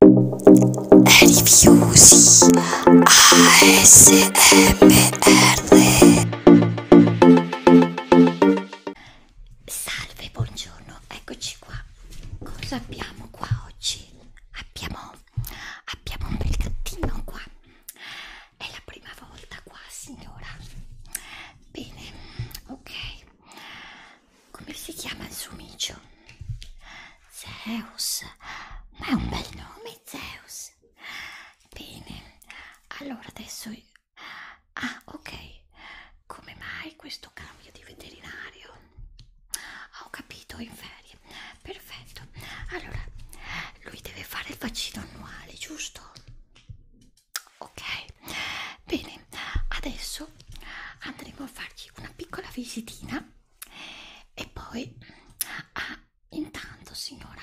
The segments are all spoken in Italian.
Rifiusi ASMR Salve, buongiorno, eccoci qua. Cosa abbiamo qua oggi? Abbiamo, abbiamo un bel gattino qua. È la prima volta qua, signora. Bene, ok come si chiama il suo micio? Zeus, ma è un bel nome Zeus. Bene, allora adesso... Ah, ok. Come mai questo cambio di veterinario? Ah, ho capito, in ferie. Perfetto. Allora, lui deve fare il vaccino annuale, giusto? Ok. Bene, adesso andremo a fargli una piccola visitina e poi ah, intanto signora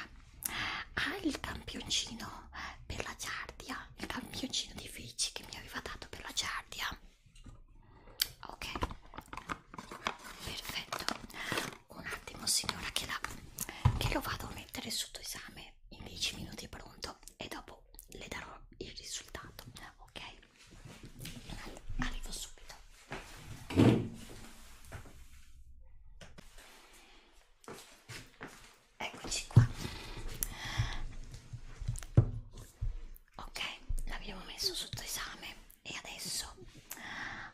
ha ah, il campioncino per la giardia il campioncino di feci che mi aveva dato per la giardia ok perfetto un attimo signora che, la, che lo vado a mettere sotto esame in 10 minuti pronto e dopo le darò il risultato ok arrivo subito eccoci qua ok l'abbiamo messo sotto esame e adesso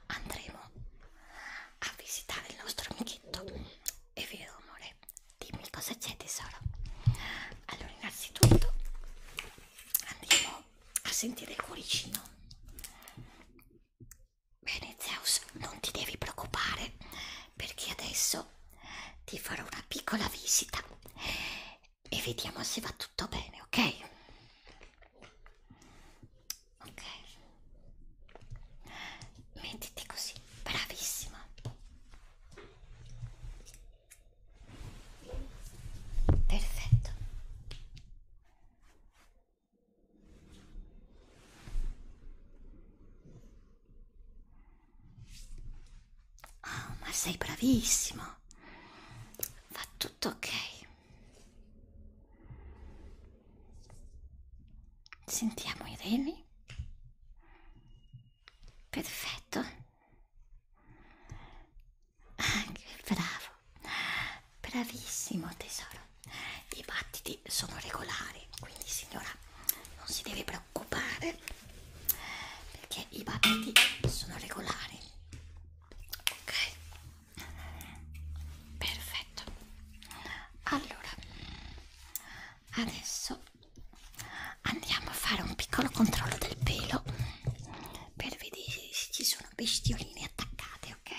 andremo a visitare il nostro amichetto è vero amore dimmi cosa c'è tesoro allora innanzitutto andiamo a sentire il cuoricino. Bene Zeus, non ti devi preoccupare perché adesso ti farò una piccola visita e vediamo se va tutto bene, ok? Ok, mettiti così, bravissima. Perfetto. Oh, ma sei bravissimo. Va tutto ok. Sentiamo i reni. Perfetto. Ah, che bravo. Bravissimo tesoro. I battiti sono regolari, quindi signora non si deve preoccupare perché i battiti sono regolari. Ok. Perfetto. Allora, adesso andiamo a fare un piccolo controllo del pelo per vedere se ci sono bestioline attaccate, ok?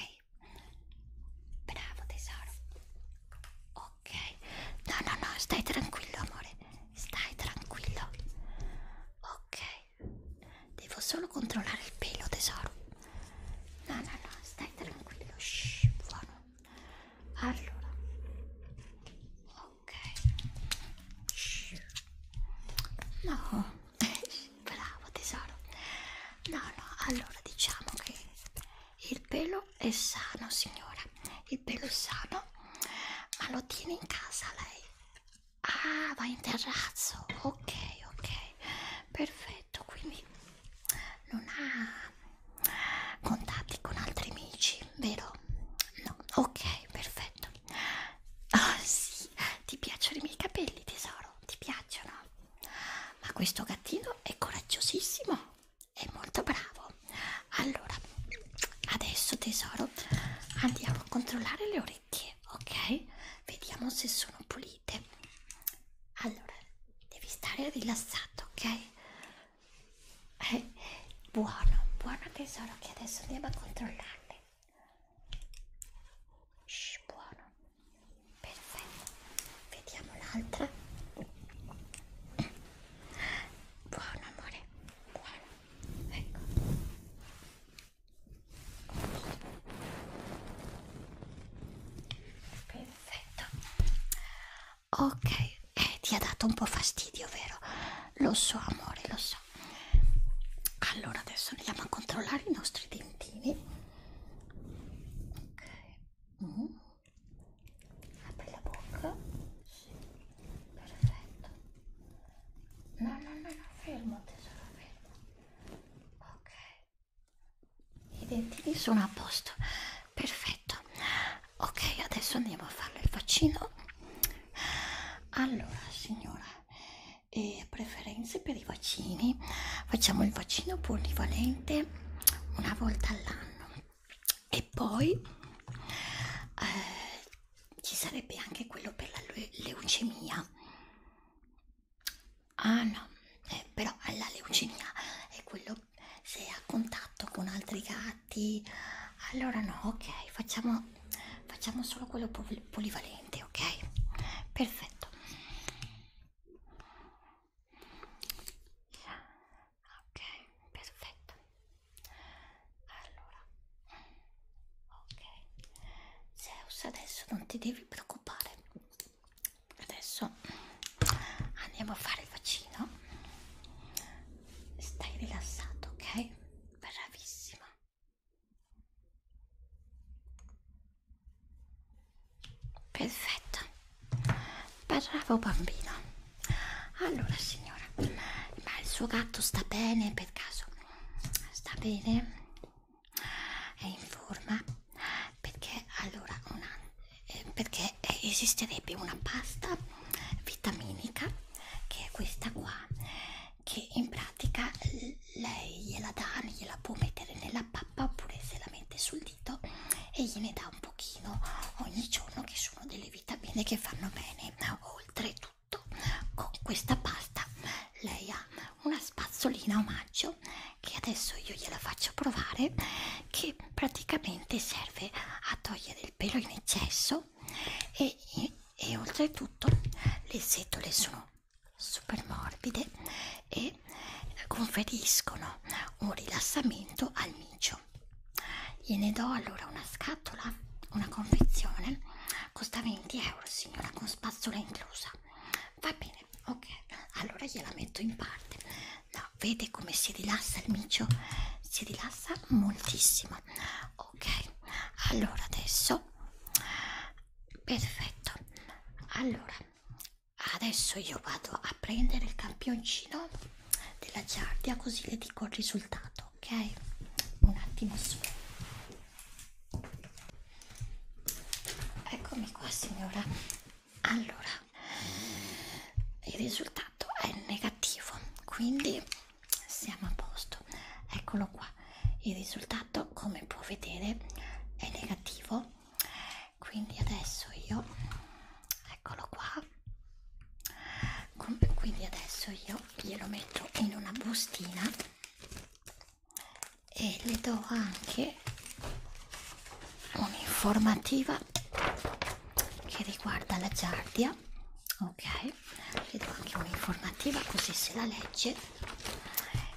Bravo tesoro. Ok. No, no, no, stai tranquillo, amore. Stai tranquillo. Ok. Devo solo controllare il pelo, tesoro. No, no, no, stai tranquillo. Shh, buono. Allora. Ok. Ok. No, bravo tesoro. No, no, allora diciamo che il pelo è sano, signora. Il pelo è sano, ma lo tiene in casa lei. Ah, va in terrazzo. Ok, ok. Perfetto, quindi non ha contatti con altri amici, vero? No, ok, perfetto. Oh sì, ti piacciono i miei capelli tesoro, ti piacciono? Ma questo gattino è coraggiosissimo, è molto bravo. Allora, adesso tesoro andiamo a controllare le orecchie, ok? Vediamo se sono pulite. Allora, devi stare rilassato, ok? Eh, buono, buono tesoro che adesso andiamo a controllare farle Shh, buono perfetto vediamo l'altra buono amore buono ecco perfetto ok eh, ti ha dato un po' fastidio vero lo so amore lo so allora adesso andiamo a controllare i nostri dentini ok mm. apri la bocca sì. perfetto no no no no fermo tesoro fermo ok i dentini sono a posto perfetto ok adesso andiamo a farle il vaccino allora signora eh, preferenze per i vaccini facciamo il vaccino polivalente una volta all'anno e poi eh, ci sarebbe anche quello per la leucemia ah no eh, però la leucemia è quello se è a contatto con altri piatti allora no ok facciamo facciamo solo quello pol polivalente ok perfetto ok perfetto allora ok Zeus adesso non ti devi preoccupare adesso andiamo a fare il vaccino stai rilassato ok bravissima perfetto bravo bambino allora signora ma il suo gatto sta bene per caso sta bene è in forma perché allora una, eh, perché esisterebbe una pasta vitaminica che è questa qua che in pratica lei gliela dà, gliela può mettere nella pappa oppure se la mette sul dito e gliene dà un pochino ogni giorno che sono delle vitamine che fanno bene. Oltretutto con questa pasta lei ha una spazzolina omaggio che adesso io gliela faccio provare che praticamente serve a togliere il pelo in eccesso e e oltretutto le setole sono super morbide e conferiscono un rilassamento al micio gliene do allora una scatola una confezione costa 20 euro signora con spazzola inclusa va bene ok allora gliela metto in parte no, vede come si rilassa il micio si rilassa moltissimo ok allora adesso perfetto allora adesso io vado a prendere il campioncino della giardia così le dico il risultato ok un attimo solo eccomi qua signora allora il risultato è negativo quindi siamo a posto eccolo qua il risultato come può vedere è negativo quindi adesso io eccolo qua quindi adesso io glielo metto in una bustina e le do anche un'informativa che riguarda la giardia ok vedo anche un'informativa così se la legge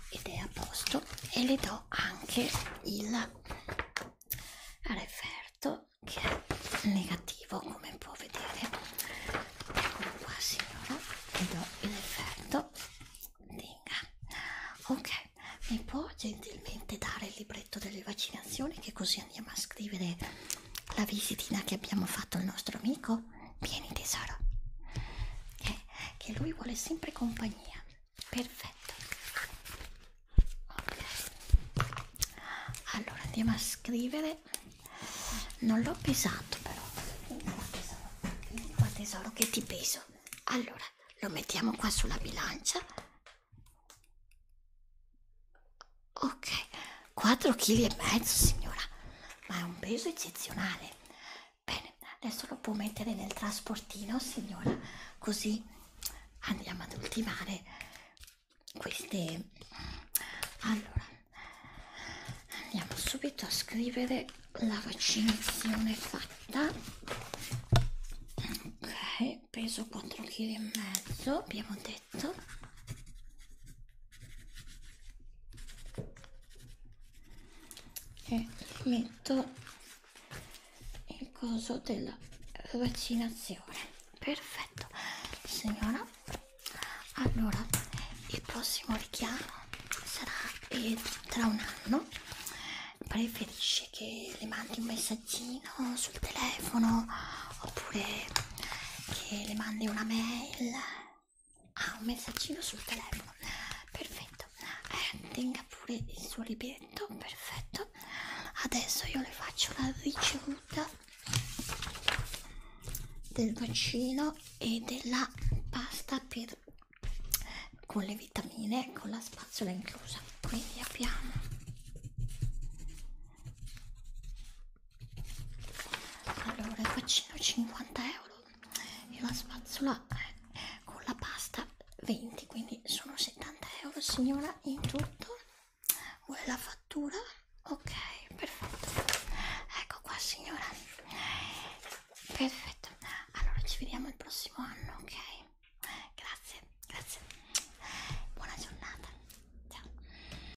ed è a posto e le do anche il referto che è negativo come può vedere eccolo qua signora le do il referto ok mi può gentilmente dare il libretto delle vaccinazioni che così andiamo a scrivere la visitina che abbiamo fatto al nostro amico vieni tesoro che, che lui vuole sempre compagnia perfetto ok allora andiamo a scrivere non l'ho pesato però vieni qua tesoro che ti peso allora lo mettiamo qua sulla bilancia Ok, 4 kg e mezzo signora, ma è un peso eccezionale. Bene, adesso lo può mettere nel trasportino signora, così andiamo ad ultimare queste... Allora, andiamo subito a scrivere la vaccinazione fatta. Ok, peso 4 kg e mezzo, abbiamo detto perfetto e metto il coso della vaccinazione perfetto signora allora il prossimo richiamo sarà eh, tra un anno preferisce che le mandi un messaggino sul telefono oppure che le mandi una mail ah un messaggino sul telefono perfetto eh, tenga pure il suo libretto perfetto adesso io le faccio la ricevuta del vaccino e della pasta per con le vitamine con la spazzola inclusa quindi abbiamo allora il vaccino 50 euro e la spazzola eh, con la pasta 20 quindi sono 70 euro signora in tutto vuole la fattura ok perfetto ecco qua signora perfetto allora ci vediamo il prossimo anno ok grazie grazie buona giornata ciao